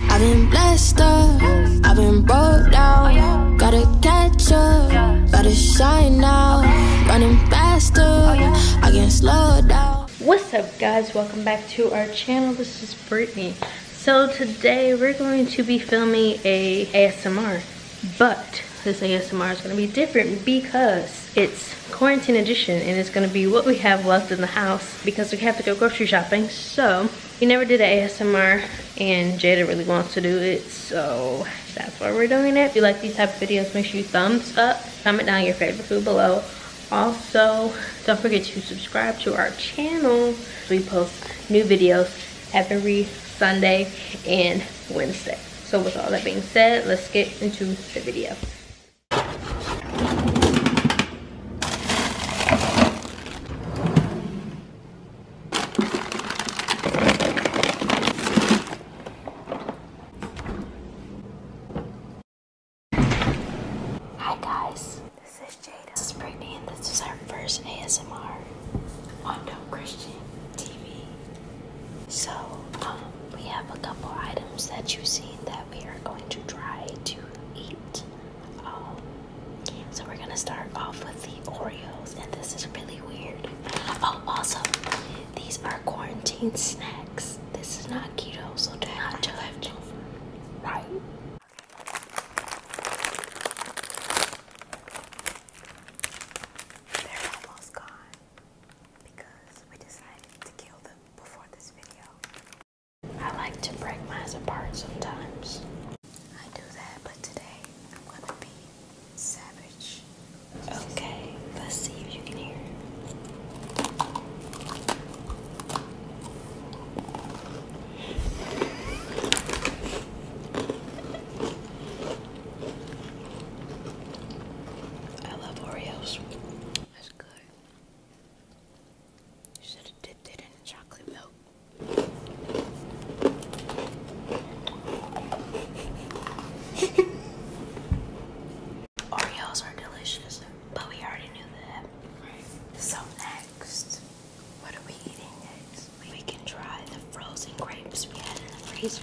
I've been blessed up, I've been broke down. Gotta catch up, gotta shine now. Running faster, I can slow down. What's up, guys? Welcome back to our channel. This is Brittany. So today we're going to be filming a ASMR, but this ASMR is going to be different because it's quarantine edition and it's going to be what we have left in the house because we have to go grocery shopping. So we never did an ASMR and Jada really wants to do it, so that's why we're doing it. If you like these type of videos, make sure you thumbs up, comment down your favorite food below. Also, don't forget to subscribe to our channel. We post new videos every Sunday and Wednesday. So with all that being said, let's get into the video. Hi guys, this is Jada. This is Brittany and this is our first ASMR on No Christian TV. So, um, we have a couple items that you've seen that we are going to try to eat. Um, so we're gonna start off with the Oreos, and this is really weird. Oh, also, these are quarantine snacks. This is not keto, so do not judge. Right. They're almost gone because we decided to kill them before this video. I like to break mine apart sometimes. I do that, but today I'm gonna be savage. Okay, let's see if you can hear I love Oreos. That's good. You should have dipped it in the chocolate milk. Oreos are delicious, but we already knew that. Right. So next, what are we eating next? We can try the frozen grapes we had in the freezer.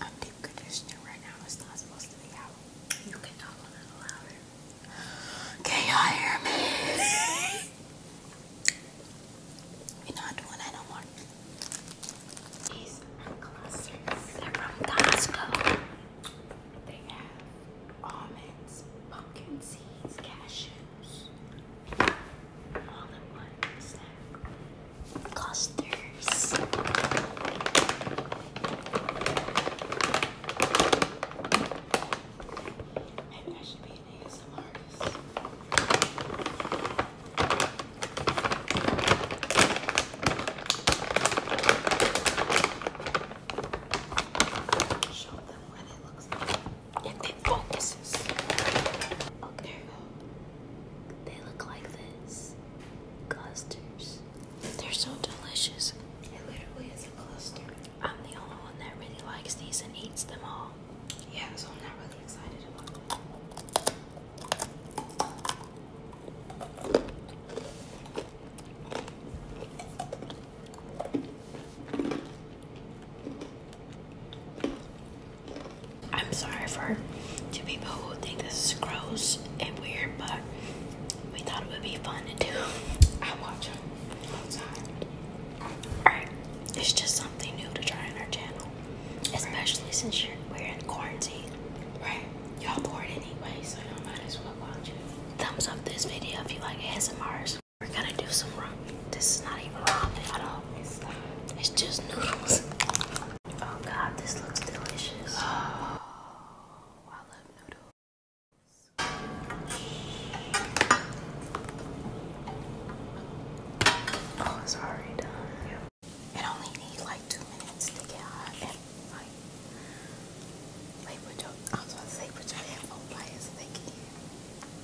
A deep conditioner right now is not supposed to be out. You can talk a little louder. Can y'all hear me? We're not doing that no more. These are clusters. They're from Costco. They have pumpkin seeds, cashews, all in one snack. Clusters. Maybe I should be an ASMR Show them what it looks like and then focuses. Okay, They look like this. Clusters. They're so delicious. It literally is a cluster. I'm the only one that really likes these and eats them all. Yeah, so I'm not really excited about them. I'm sorry for two people who think this is gross and weird, but we thought it would be fun to do. I watch them all the Alright, it's just something new to try on our channel, especially since you're, we're in quarantine. Right, y'all bored anyway, so you might as well watch Thumbs up this video if you like ASMRs. We're gonna do some ramen. This is not even ramen at all. It's, just noodles. Oh god, this looks delicious. Oh, I love noodles. Oh, it's done. It only needs like two minutes to get hot and like I was about to say put your headphone pliers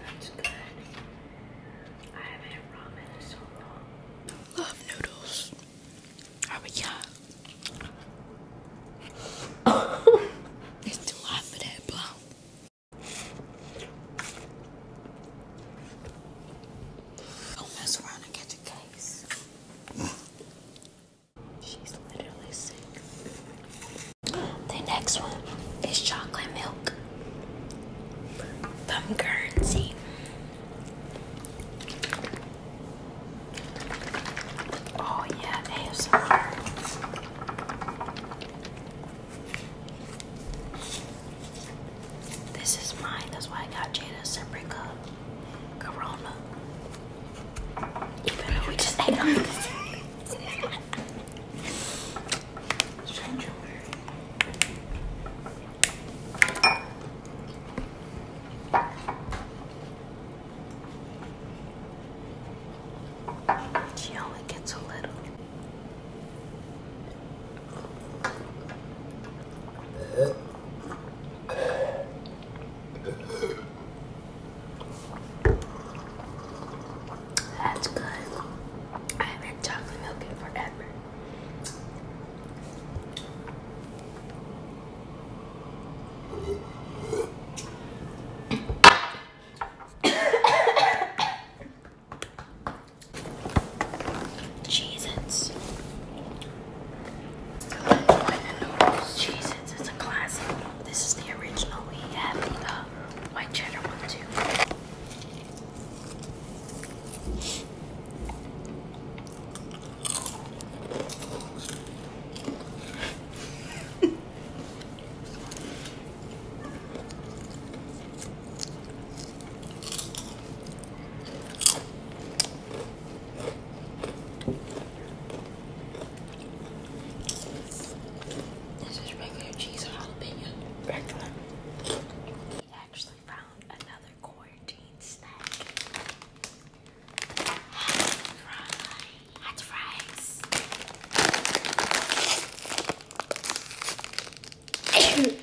That's good. Love noodles. Oh my god. it's too hot for that blow. Don't mess around and get the case. She's literally sick. The next one is chocolate milk from Guernsey. Oh yeah, ASMR. This is mine. That's why I got Jada a Corona. we just ate on this. She only gets a little. That's good. I haven't chocolate milk in forever. Cheez-Its. is a classic. This is the original. We have the uh, white cheddar one too. This is regular cheese or jalapeno. Regular. We actually found another quarantine snack. Hot fries. Hot fries.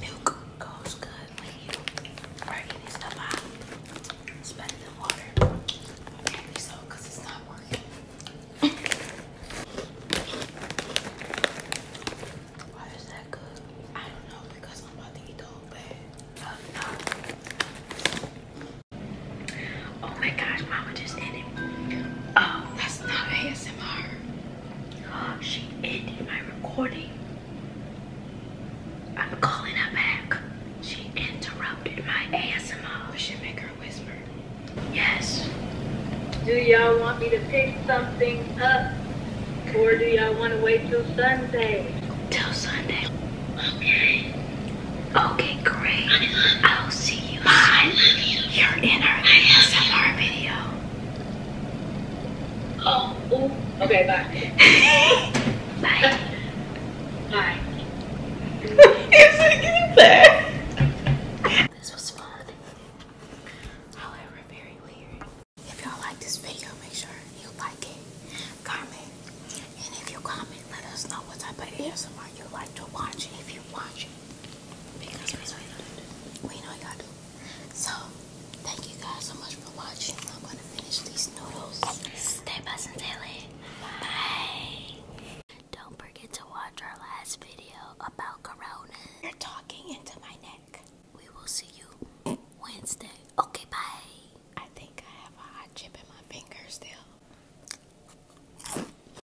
Milk goes good when you working stuff out. It's better than water. Maybe so, because it's not working. Why is that good? I don't know, because I'm about to eat the whole Oh my gosh, mama just ended. Oh, that's not ASMR. Oh, she ended my recording. I'm calling her back. She interrupted my ASMR. We should make her whisper. Yes. Do y'all want me to pick something up? Or do y'all want to wait till Sunday? Till Sunday. Okay. Okay, great. I'll see to you You're in our ASMR video. Oh, okay, bye. bye. Bye. Is it getting This was fun. However, very weird. If y'all like this video, make sure you like it, comment, and if you comment, let us know what type of ASMR you like to watch if you watch it we, we know y'all do. So, thank you guys so much for watching. I'm going to finish these noodles. Stay blessed and daily. Bye. Bye. Don't forget to watch our last video about Corona. You're talking into my neck. We will see you Wednesday. Okay, bye. I think I have a hot chip in my finger still.